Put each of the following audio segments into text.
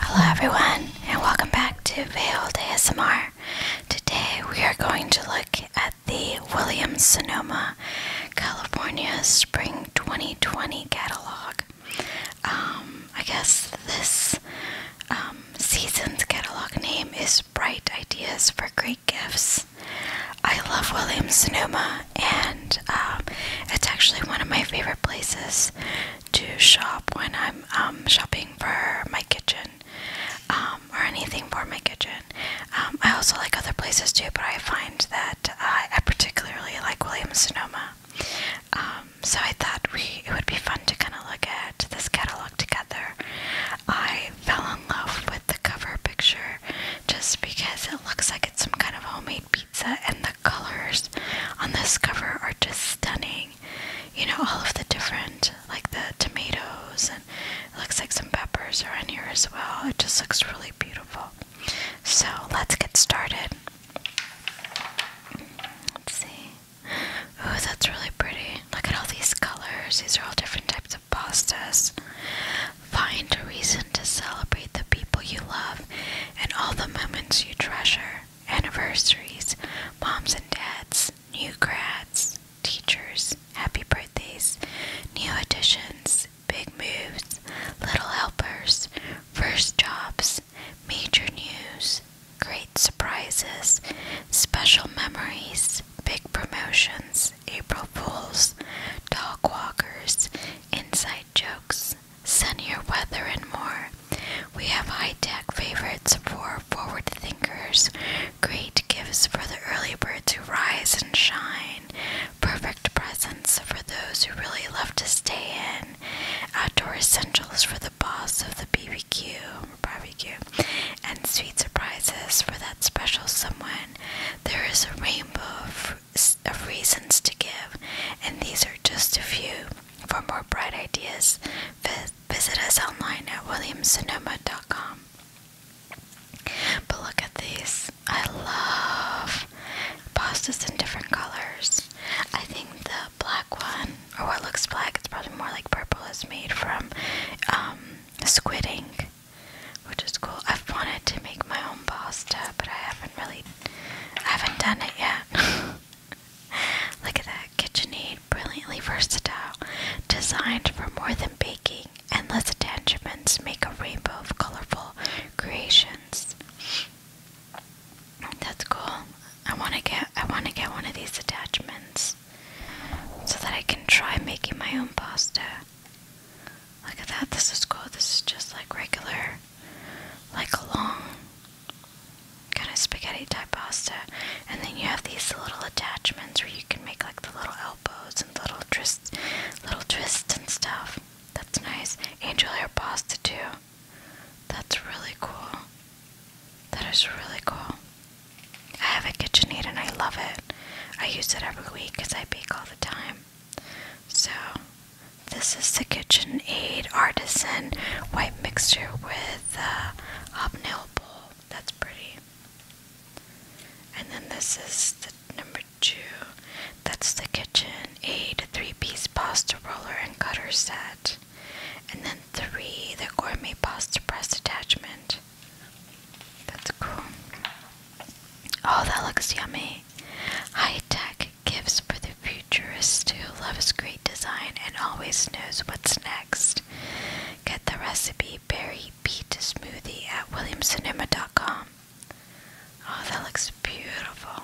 Hello everyone and welcome back to Veiled ASMR. Today we are going to look at the Williams Sonoma California Spring 2020 catalog. Um, I guess this um, season's catalog name is Bright Ideas for Great Gifts. I love Williams Sonoma, and um, it's actually one of my favorite places to shop when I'm um, shopping for my kitchen um, or anything for my kitchen. Um, I also like other places too, but I find that uh, I particularly like Williams Sonoma. Um, so I thought we it would be fun to kind of look at this catalog together. I fell in love with the cover picture just because it looks like it's some kind of homemade pizza, and the colors on this cover are just stunning. You know, all of the different, like the tomatoes, and looks like some peppers are in here as well. It just looks really beautiful. So let's get started. Let's see. Oh, that's really pretty. Look at all these colors. These are all different types of pastas. Find a reason to celebrate the people you love and all the moments you treasure anniversaries, moms and dads, new grads, teachers, happy birthdays, new additions, big moves, little helpers, first jobs, major news, great surprises, special memories, big promotions, April Fools, dog walkers, inside jokes, sunnier weather, and more. We have high tech favorites for forward thinkers, great gifts for the early birds who rise and shine, perfect presents for those who really love to stay in, outdoor essentials for the boss of the BBQ barbecue, and sweet surprises for that special someone. There is a rainbow of of uh, reasons to give, and these are just a few. For more bright ideas, visit us online at williamsonoma.com. But look at these. I love pastas in different colors. I think the black one, or what looks black, it's probably more like purple, is made from um, squid ink, which is cool. I've wanted to make my own pasta, but I haven't really I haven't done it yet. Look at that KitchenAid, brilliantly versatile, designed for more than baking. Endless attachments make a rainbow of colorful creations. That's cool. I want to get I want to get one of these attachments so that I can try making my own pasta. Look at that, this is cool. This is just like regular, like a long kind of spaghetti type pasta. And then you have these little attachments where you can make like the little elbows and little twists, little twists and stuff. That's nice. Angel hair pasta too. That's really cool. That is really cool. I have a kitchen aid and I love it. I use it every week because I bake all the time. So, this is the KitchenAid Artisan White Mixture with uh, Hobnail Bowl. That's pretty. And then this is the number two. That's the KitchenAid Three Piece Pasta Roller and Cutter Set. And then three, the Gourmet Pasta Press Attachment. That's cool. Oh, that looks yummy. High tech gifts for the futurist who loves great design and always knows what's next. Get the recipe berry beet smoothie at williamsonoma.com. Oh, that looks beautiful.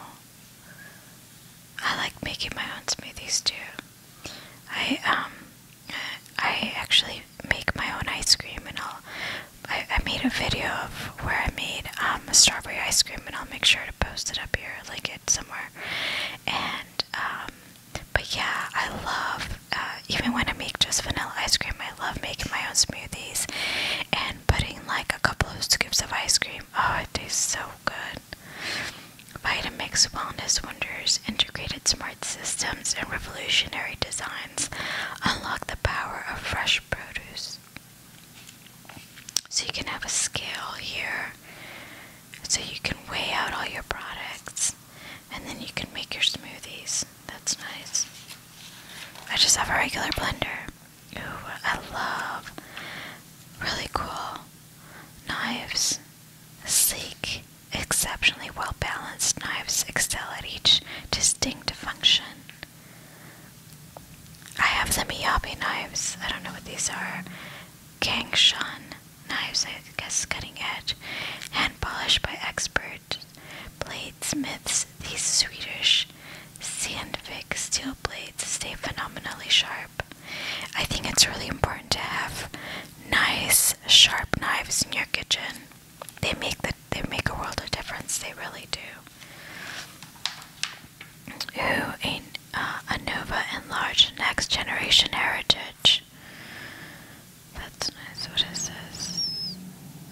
I like making my own smoothies too. I um I actually make my own ice cream and all. I, I made a video of where I made um, a strawberry ice cream, and I'll make sure to post it up here, link it somewhere. And um, but yeah, I love uh, even when I make just vanilla ice cream, I love making my own smoothies and putting like a couple of scoops of ice cream. Oh, it tastes so good. Vitamix Wellness Wonders integrated smart systems and revolutionary designs unlock the power of fresh produce. So you can have a scale here, so you can weigh out all your products, and then you can make your smoothies. That's nice. I just have a regular blender. Ooh, I love really cool knives. Sleek, exceptionally well balanced knives excel at each distinct function. I have some Miyabi knives. I don't know what these are. Gangshan knives, I guess cutting edge. Hand polished by expert bladesmiths. These Swedish Sandvik steel blades stay phenomenally sharp. I think it's really important to have nice, sharp knives in your kitchen. They make the, they make a world of difference. They really do who a, uh, Anova a Nova Enlarged Next Generation Heritage. That's nice. What is this?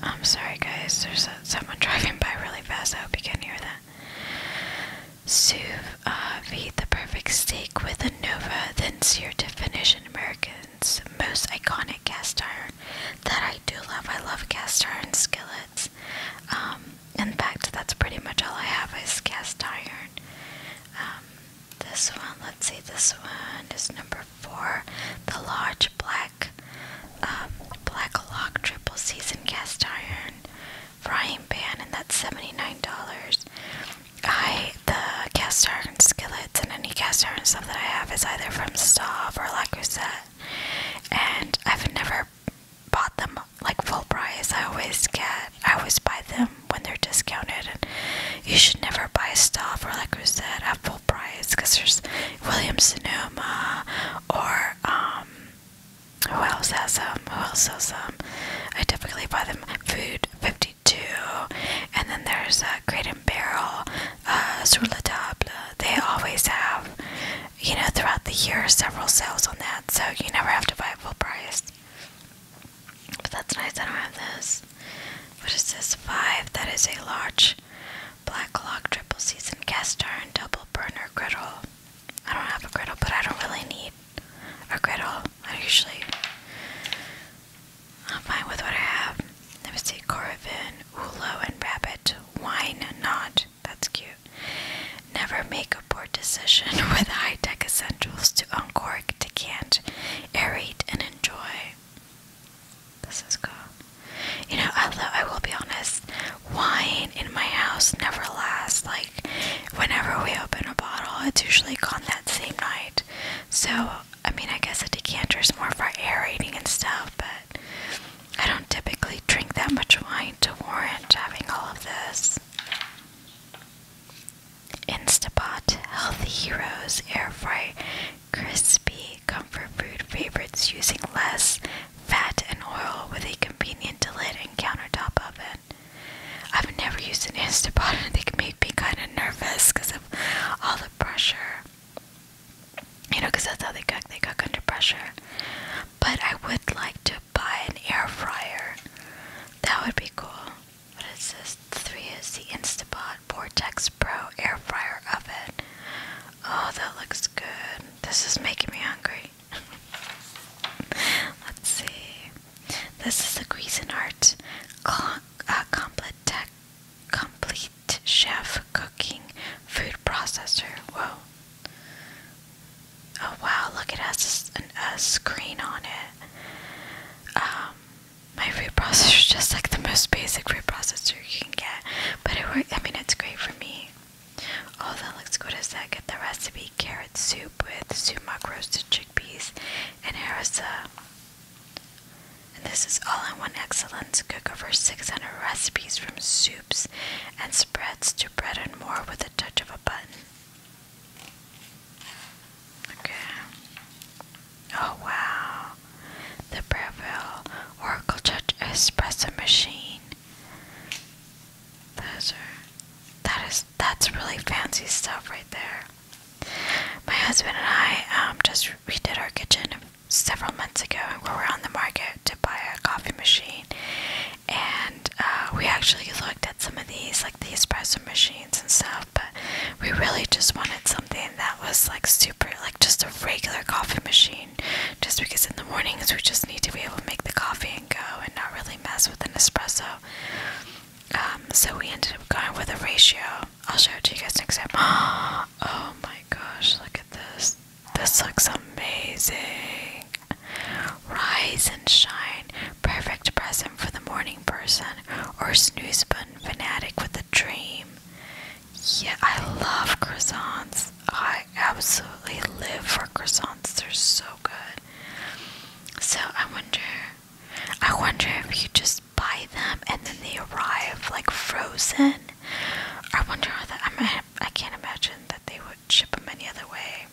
I'm sorry, guys. There's uh, someone driving by really fast. I hope you can hear that. Sous uh, vide the perfect steak with Anova, then sear to finish an American's most iconic cast iron. That I do love. I love cast iron skillets. Um, in fact, that's pretty much all I have is cast iron. Um, this one, let's see, this one is number four, the large black, um, black lock triple season cast iron frying pan, and that's seventy-nine dollars. I the cast iron skillets and any cast iron stuff that I have is either from Stav or La Crusette, and I've never bought them like full price. I always get, I always buy them when they're discounted. And you should never buy stuff, or like we said, at full price because there's William Sonoma or um, who else has them? Who else has them? I typically buy them Food 52, and then there's uh, Crate and Barrel, uh, Sur la Table. They always have you know, throughout the year, several sales on that, so you never have to buy full price. But that's nice. I don't have this. What is this? Five. That is a large black log triple season cast iron double burner griddle. I don't have a griddle, but I don't really need a griddle. I usually I'm fine with what I have. Let me see. Coravin, Ulo, and Rabbit. Wine not. That's cute. Never make a poor decision with high tech essentials to uncork, decant, aerate, and enjoy. This is cool. You know, I love, I will be honest, wine in my house never lasts. Like, whenever we open a bottle, it's usually gone that same night. So, I mean, I guess a decanter is more for aerating and stuff, but I don't typically drink that much wine to warrant having all of this. Instapot, Healthy Heroes, Air Fry, Crispy, Comfort Food favorites using less fat and oil with a convenient lid and countertop oven. I've never used an Instapot and they can make me kind of nervous because of all the pressure. You know, because that's how they cook, they cook under pressure but I would like to buy an air fryer. That would be cool. What is this? Three is the Instapot Vortex Pro air fryer oven. Oh, that looks good. This is making me hungry. Let's see. This is the Cuisinart uh, Complete Chef Cooking Food Processor. Whoa. Oh wow, look, it has a, screen on it. Um, my food processor is just like the most basic food processor you can get, but it works. I mean, it's great for me. Oh, that looks good. As that, get the recipe carrot soup with sumac roasted chickpeas and harissa. And this is all in one excellence cook over 600 recipes from soups and spreads to bread and more with a touch of a button. Okay. Oh wow. The Breville Oracle Touch Espresso Machine. Those that is that's really fancy stuff right there. My husband and I um, just redid our kitchen several months ago, and we were on the market to buy a coffee machine and uh, we actually looked at some of these, like the espresso machines and stuff, but we really just wanted something that was like super, like just a regular coffee machine, just because in the mornings we just need to be able to make the coffee and go and not really mess with an espresso. Um, so we ended up going with a ratio. I'll show it to you guys next time. Oh my gosh, look at this. This looks amazing. Rise and shine, perfect present for the morning person or snooze button fanatic with a dream. Yeah, I love croissants. I absolutely live for croissants. They're so good. So I wonder, I wonder if you just buy them and then they arrive like frozen. I wonder how that. I I can't imagine that they would ship them any other way.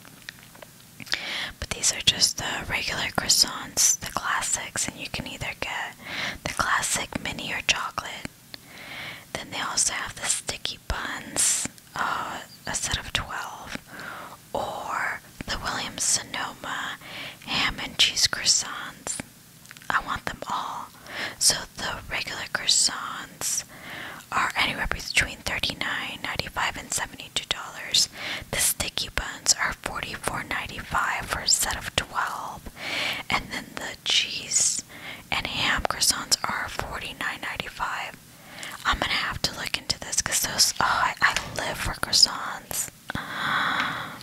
But these are just the regular croissants, the classics, and you can either get the classic mini or chocolate. Then they also have the sticky buns, uh, a set of 12, or the Williams Sonoma ham and cheese croissants. I want them all. So the regular croissants are anywhere between $39.95 and $72. The sticky buns are $44.95 for a set of 12. And then the cheese and ham croissants are $49.95. I'm gonna have to look into this because those, oh, I, I live for croissants. Um,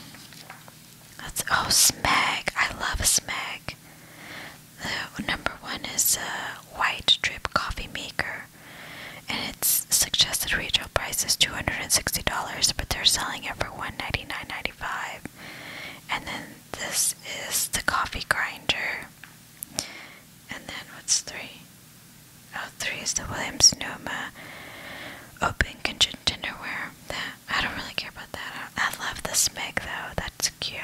oh, smeg. I love smeg. The number one is a white drip coffee maker, and its suggested retail price is two hundred and sixty dollars, but they're selling it for one ninety nine ninety five. And then this is the coffee grinder. And then what's three? Oh, three is the Williams Sonoma open kitchen dinnerware. That I don't really care about that. I, love this mug though. That's cute.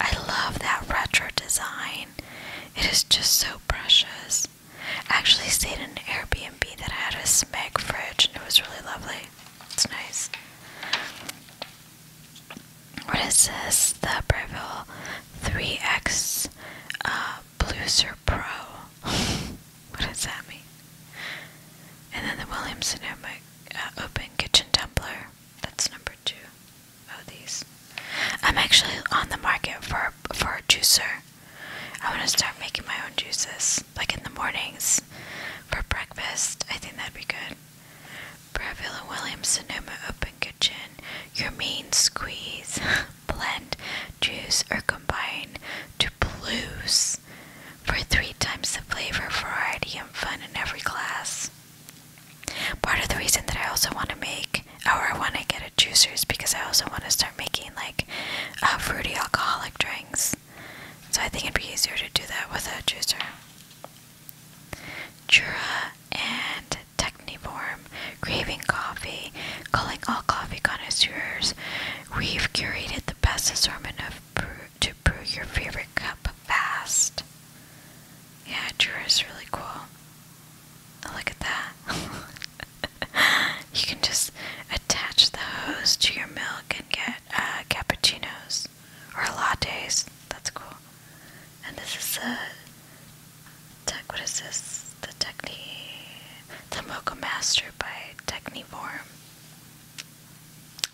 I love that retro design. It is just so precious. actually stayed in an Airbnb that had a Smeg fridge and it was really lovely. It's nice. What is this? The Breville 3X uh, Pro. what does that mean? And then the Williamson uh, Open Kitchen Tumbler. That's number two of these. I'm actually on the market for for a juicer. I want to start making my own juices, like in the mornings for breakfast. I think that'd be good. Breville and Williams Sonoma Open Kitchen. Your main squeeze, blend, juice, or combine to blues for three times the flavor, variety, and fun in every glass. Part of the reason that I also want to make, or I want to get a juicer, is because I also want to start making like uh, fruity alcoholic drinks. So I think it'd be easier to do that with a juicer. Jura and Technivorm, craving coffee, calling all coffee connoisseurs. We've curated the best assortment of brew to brew your favorite cup fast. Yeah, Drew is really cool. Oh, look at that. you can just attach the hose to your milk and get uh, cappuccinos or lattes. That's cool. And this is the tech. What is this? The Techni, the Mocha Master by Technivorm.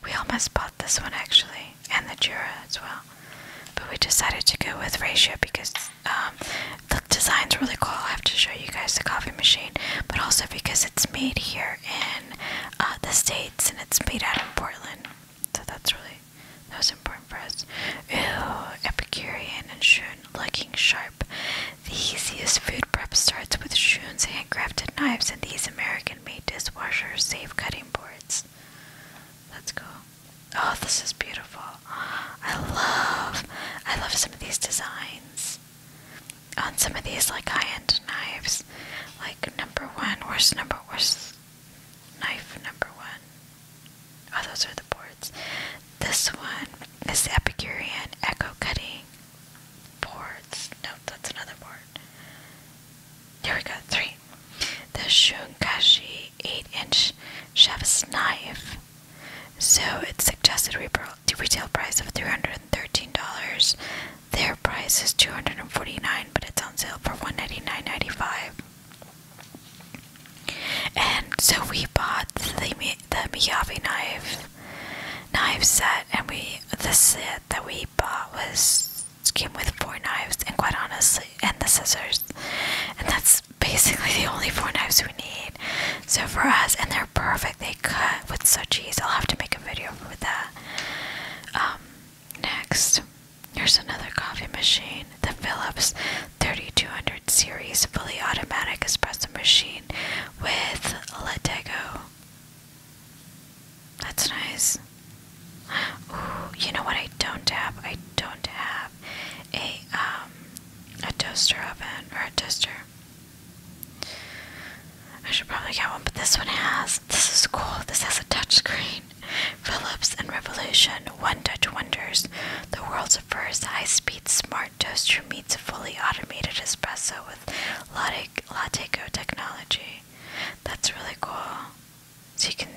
We all must buy this one actually, and the Jura as well. But we decided to go with Ratio because um, the design's really cool. i have to show you guys the coffee machine, but also because it's made here in uh, the States and it's made out of Portland. So that's really, that was important for us. Ooh, Epicurean and Shun looking sharp. The easiest food prep starts with Shun's handcrafted knives and these American made dishwasher safe cutting boards. Let's go. Oh, this is beautiful. I love, I love some of these designs on some of these like high-end knives. Like number one, worst number, worst knife number one? Oh, those are the boards. This one is Epicurean Echo Cutting Boards. Nope, that's another board. Lord. Here we go. Three. The Shunkashi 8 inch chef's knife. So it's suggested retail price of $313. Their price is $249, but it's on sale for $199.95. And so we bought the, the Miyavi knife knife set, and we the set that we bought was came with four knives and quite honestly and the scissors and that's basically the only four knives we need so for us and they're perfect they cut with such ease i'll have to make a video with that um, next here's another coffee machine the philips 3200 series fully automatic espresso machine with Go. That's nice. Ooh, you know what I don't have? I don't have a um a toaster oven or a toaster. I should probably get one, but this one has. This is cool. This has a touchscreen. Philips and Revolution One Touch Wonders. The world's first high-speed smart toaster meets a fully automated espresso with latte, latte technology. That's really cool. So you can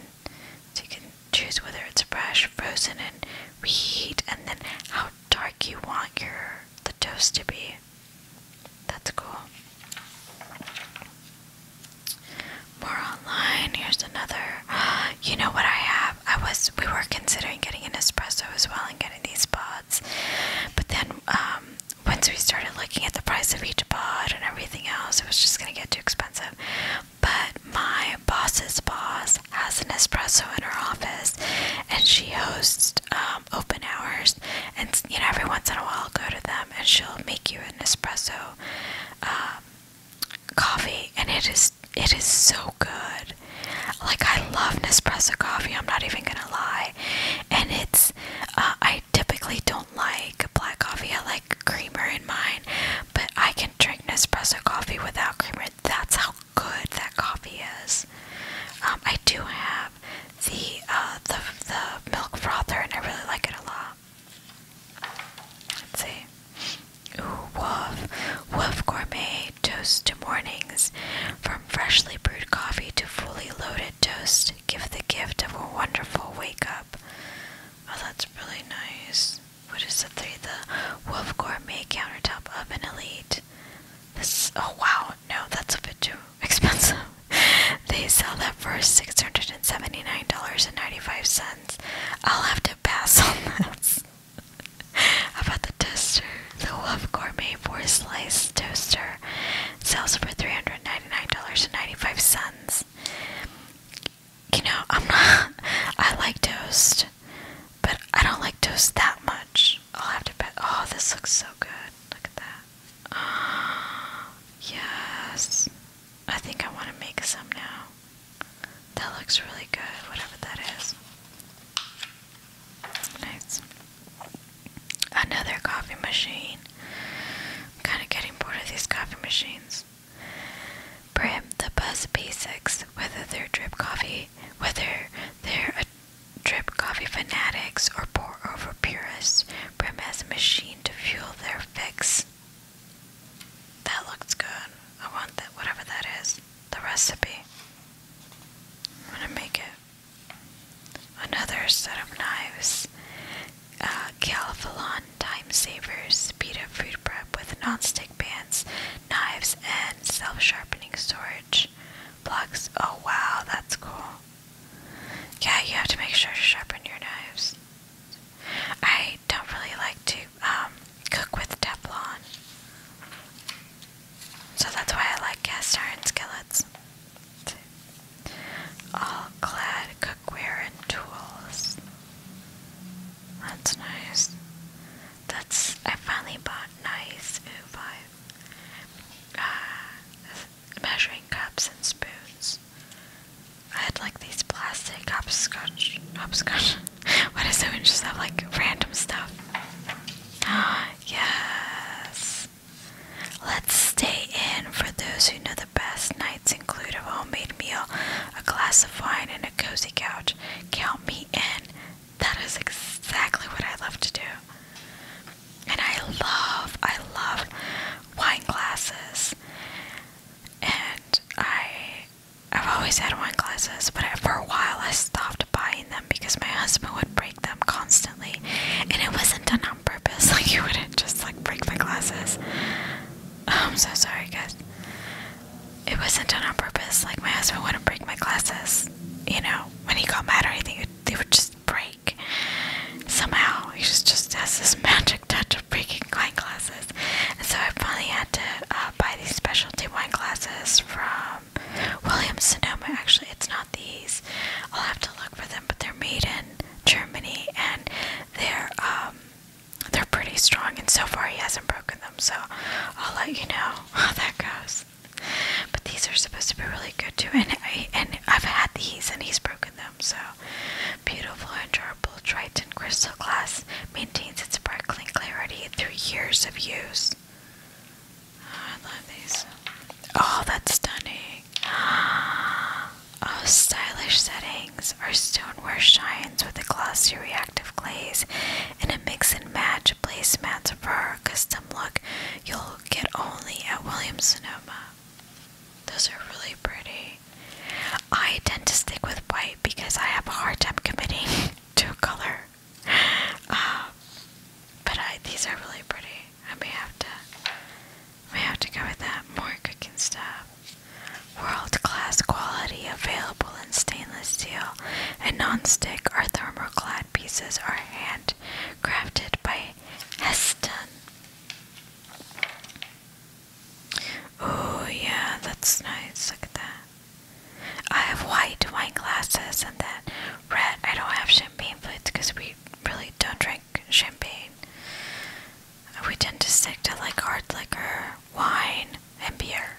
so you can choose whether it's fresh, frozen, and reheat, and then how dark you want your the toast to be. That's cool. More online. Here's another. You know what I have? I was we were considering getting an espresso as well and getting these pods, but then um, once we started looking at the price of each pod and everything else, it was just gonna get too expensive. But my boss's boss has an espresso in her office, and she hosts um, open hours. And you know, every once in a while, I'll go to them, and she'll make you an espresso um, coffee, and it is it is so good. Like I love Nespresso coffee. I'm not even gonna lie, and it's uh, I typically don't do like black coffee. I like creamer in mine, but I can drink Nespresso coffee without creamer. That's how good that coffee is. Um, I do have the uh, the the milk frother, and I really like it a lot. Let's woof. Woof Gourmet Toast to Mornings. From freshly brewed coffee to fully loaded toast, give the gift of a wonderful wake up. Oh, that's really nice. What is the three? The Wolf Gourmet Countertop Oven Elite. This, oh wow, no, that's a bit too expensive. they sell that for $679.95. I'll have to pass on that. about the toaster? The Wolf Gourmet 4 Slice Toaster sells for $399.95 you know, I'm not. I like toast, but I don't like toast that much. I'll have to bet. Oh, this looks so good. Look at that. Oh, yes. I think I want to make some now. That looks really good, whatever that is. Nice. Another coffee machine. I'm kind of getting bored of these coffee machines. For the buzz basics, whether they're drip coffee, whether they're a drip coffee fanatics or pour over purists, Brim has a machine to fuel their fix. That looks good. I want that, whatever that is. The recipe. I'm gonna make it. Another set of knives uh, Calphalon time savers, speed up food prep with non-stick pans, knives, and self-sharpening storage blocks. Oh wow, that's cool. Yeah, you have to make sure to sharpen your knives. I don't really like to um, cook with Teflon. So that's why I like cast iron skillets. All clad cookware and tools. That's nice. That's I finally bought nice five uh, measuring cups and spoons. I had like these plastic hopscotch, hopscotch. what is it? We just have like random stuff. yes. Let's stay in for those who know best nights include a homemade meal, a glass of wine, and a cozy couch. Count me in. That is exactly what I love to do. And I love, I love wine glasses. And I, I've always had wine glasses, but for a while I stopped buying them because my husband would break them constantly, and it wasn't done on purpose. Like he wouldn't just like break my glasses. I'm so sorry, guys. It wasn't done on purpose. Like, my husband wouldn't break my glasses. You know, when he got mad or anything, they would just break. Somehow, he just, just has this magic touch of breaking wine glasses. And so I finally had to uh, buy these specialty wine glasses from Williams Sonoma. Actually, it's not these. I'll have to look for them, but they're made in Germany and they're, um, they're pretty strong, and so far he hasn't broken them, so I'll let you know how that goes. But these are supposed to be really good too, and I and I've had these, and he's broken them. So beautiful durable Triton crystal glass maintains its sparkling clarity through years of use. Oh, I love these. Oh, that's stunning. Oh, stylish settings! Our stoneware shines with a glossy reactive glaze and a mix and match placemats for a custom look you'll get only at Williams Sonoma. Those are really pretty. I tend to stick with white because I have a hard time committing to a color. Um, but I, these are really pretty. I may have to, We have to go with that more cooking stuff. World-class quality available in stainless steel and non-stick or thermoclad pieces are handcrafted by Heston. Oh yeah, that's nice. Look at that. I have white wine glasses and that red. I don't have champagne plates because we really don't drink champagne we tend to stick to like hard liquor, wine, and beer.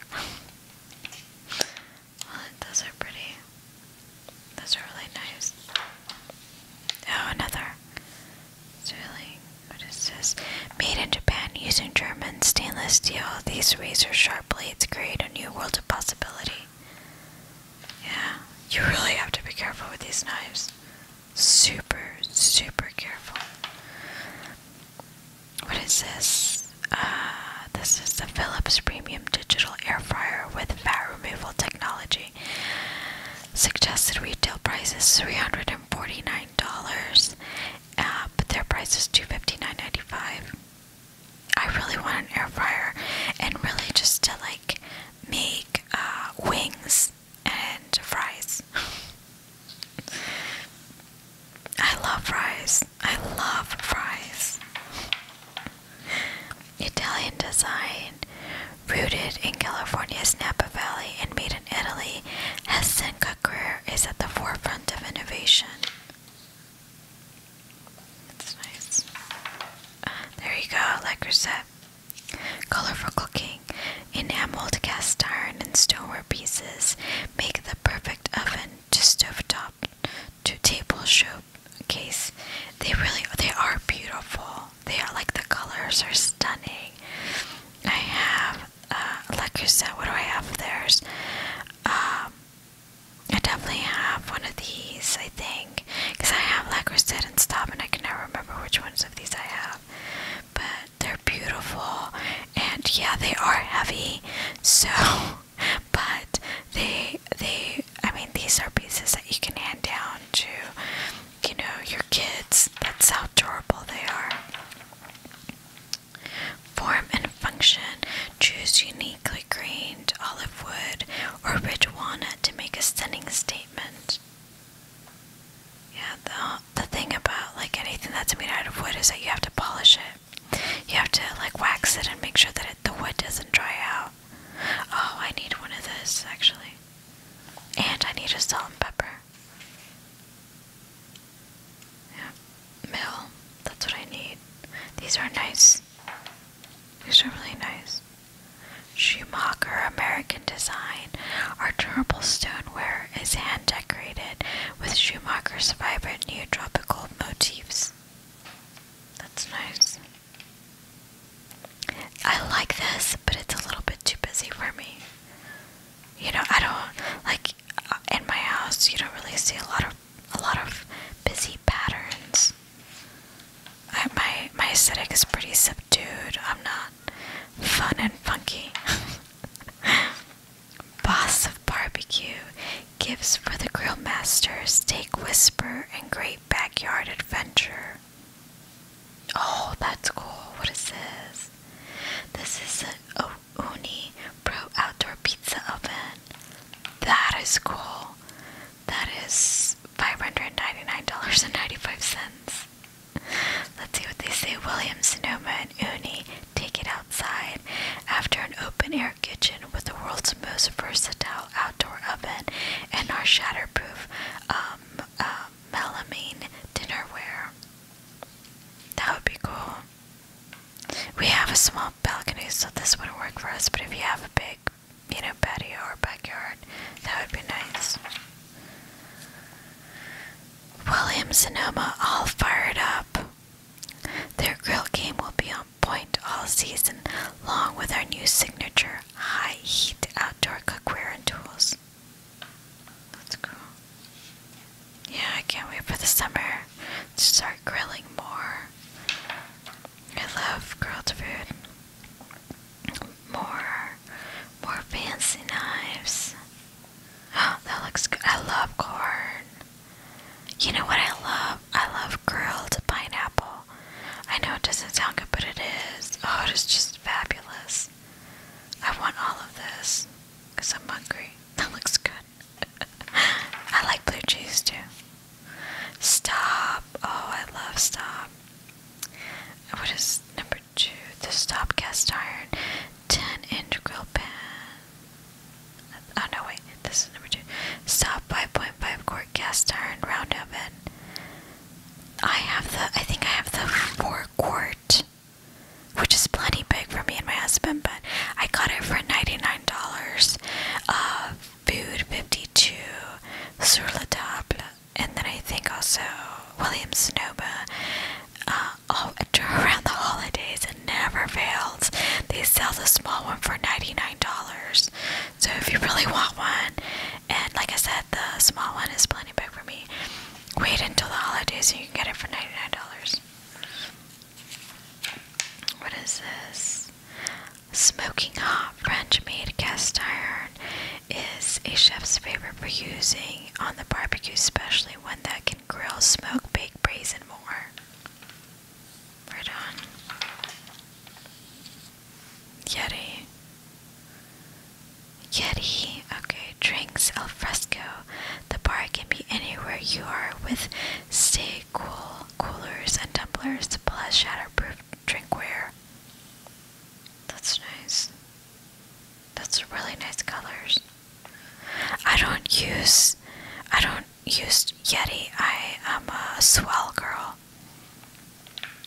well, those are pretty. Those are really nice. Oh, another. It's really. What is this? Made in Japan using German stainless steel, these razor sharp blades create a new world of possibility. Yeah, you really have to be careful with these knives super, super careful. What is this? Uh, this is the Philips Premium Digital Air Fryer with fat removal technology. Suggested retail price is three hundred and forty-nine dollars, uh, but their price is two fifty-nine ninety-five. I really want an air fryer, and really just to like make uh, wings and fries. I love fries. I love fries. Italian design, rooted in California's Napa Valley and made in Italy, has Hessen Cookware is at the forefront of innovation. That's nice. There you go, like Reset. Colorful cooking cooking. Enameled cast iron and stoneware pieces make the perfect oven to stovetop to table case. They really they are beautiful. They are like the colors are stunning. I have uh like you said, what do I have there's um I definitely have one of these, I think, because I have, like set said, and stop, and I can never remember which ones of these I have but they're beautiful and yeah they are heavy so but they they I mean these are pieces that you can hand down to you know your kids that's how durable they are form and function choose uniquely grained olive wood or rich walnut to make a stunning statement yeah, the, the thing about like anything that's made out of wood is that you have to polish it. You have to like wax it and make sure that it, the wood doesn't dry out. Oh, I need one of those actually. And I need a salt and pepper. Yeah, mill. That's what I need. These are nice. These are really nice. Schumacher American design. Our durable stoneware is hand-decorated with Schumacher's vibrant neotropical motifs. That's nice. I like this, but it's a little bit too busy for me. You know, I don't like uh, in my house. You don't really see a lot of a lot of busy patterns. my my aesthetic is pretty subdued. I'm not fun and funky. Boss of Barbecue gives for the grill master steak whisper and great backyard adventure. Oh, that's cool. What is this? This is an Uni Pro Outdoor Pizza Oven. That is cool. That is $599.95. Let's see what they say. William, Sonoma, and Uni take it outside after an open air kitchen with the world's most versatile outdoor oven and our shatterproof um, uh, melamine dinnerware. That would be cool. We have a small balcony, so this wouldn't work for us, but if you have a big, you know, patio or backyard, that would be nice. William Sonoma all fired up. Their grill game will be on point all season, long with our new signature high heat outdoor cookware and tools. That's cool. Yeah, I can't wait for the summer to start grilling more. I love grilled food. More, more fancy knives. that looks good. I love corn. You know what I love? I love grilled pineapple. I know it doesn't sound good, but it is. Oh, it is just fabulous. I want all of this because I'm hungry. That looks good. I like blue cheese too. Stop. Oh, I love stop. What is number two? The stop cast iron. 10 integral pan. Oh no, wait, this is number 2. Stop 5.5 quart cast iron round oven. I have the, I think I have the 4 quart, which is plenty big for me and my husband, but I got it for $99. Uh, food 52, sur la table, and then I think also William Sonoma uh, oh, around the holidays. and never fails. They sell the small one for $99. So if you really want one, and like I said, the small one is plenty big for me. Wait until the holidays and you can get it for $99. What is this? Smoking hot French made cast iron is a chef's favorite for using on the barbecue, especially one that can grill, smoke, bake, braise, and more. Right on. Yeti. Yeti. Okay, drinks al fresco. The bar can be anywhere you are with stay cool coolers and tumblers plus shatterproof drinkware. That's nice. That's really nice colors. I don't use I don't use Yeti. I am a swell girl.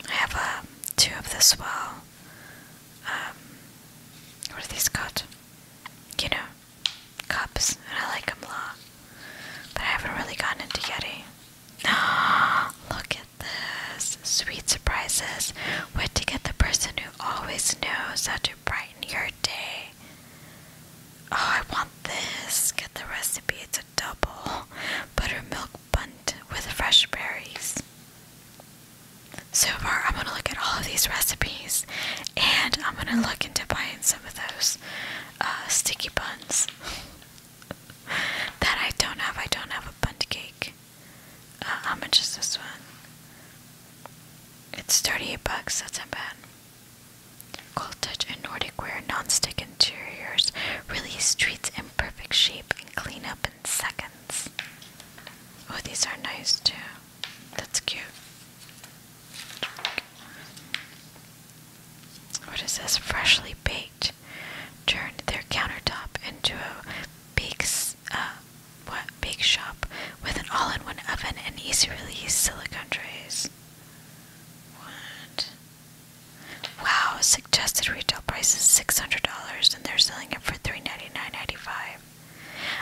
I have uh, two of the swell. Um, what are these called? You know, cups, and I like them a lot. But I haven't really gotten into Yeti. Ah, look at this. Sweet surprises. What to get the person who always knows how to price brighten your day. Oh, I want this. Get the recipe. It's a double buttermilk bunt with fresh berries. So far, I'm gonna look at all of these recipes, and I'm gonna look into buying some of those uh, sticky buns that I don't have. I don't have a bunt cake. how much is this one? It's 38 bucks, that's not bad. Cold Touch and Nordic Wear non-stick interiors really streets in perfect shape and clean up in seconds. Oh, these are nice too. That's cute. What What is this? Freshly baked. Turned their countertop into a big, uh, what big shop with an all-in-one oven and easy-release silicone trays. What? Wow! Suggested retail price is six hundred dollars, and they're selling it for three ninety-nine ninety-five.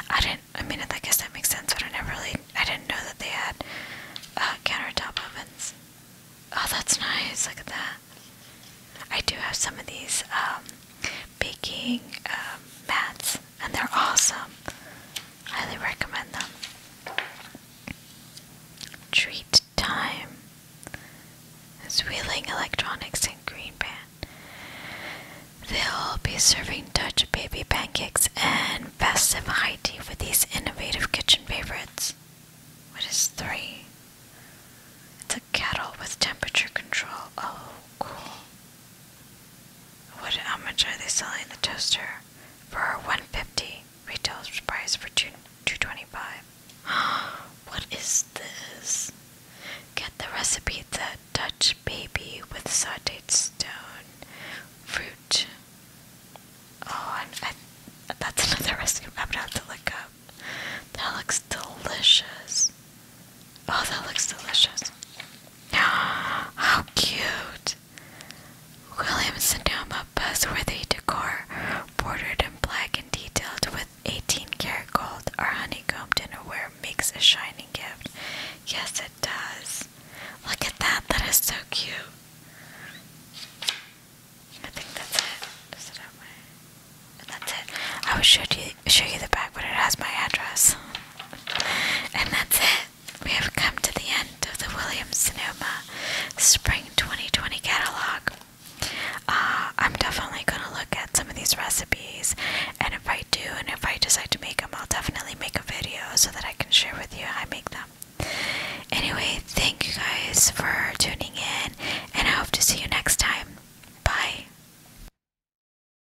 I didn't. I mean, I guess that makes sense, but I never really. I didn't know that they had uh, countertop ovens. Oh, that's nice. Look at that. I do have some of these um, baking um, mats and they're awesome. Highly recommend them. Treat Time is Wheeling Electronics in Green Pan. They'll be serving Dutch baby pancakes and festive high tea with these innovative kitchen favorites. What is three? It's a kettle with temperature control. Oh, cool. What how much are they selling the toaster? For one fifty. Retail price for two two twenty five. what is this? Get the recipe the Dutch baby with sauteed stone fruit. Oh, and that's another recipe I'm have to look up. That looks delicious. Oh, that looks delicious. How cute! Williamson Sonoma buzzworthy decor, bordered in black and detailed with 18 karat gold, our honeycomb dinnerware makes a shining gift. Yes, it does. Look at that, that is so cute. I think that's it That's it. I will show you show you the back, but it has my address. And that's it. We have come to the end of the Williams Sonoma Spring 2020 catalog. Uh, I'm definitely going to look at some of these recipes, and if I do, and if I decide to make them, I'll definitely make a video so that I can share with you how I make them. Anyway, thank you guys for tuning in, and I hope to see you next time. Bye.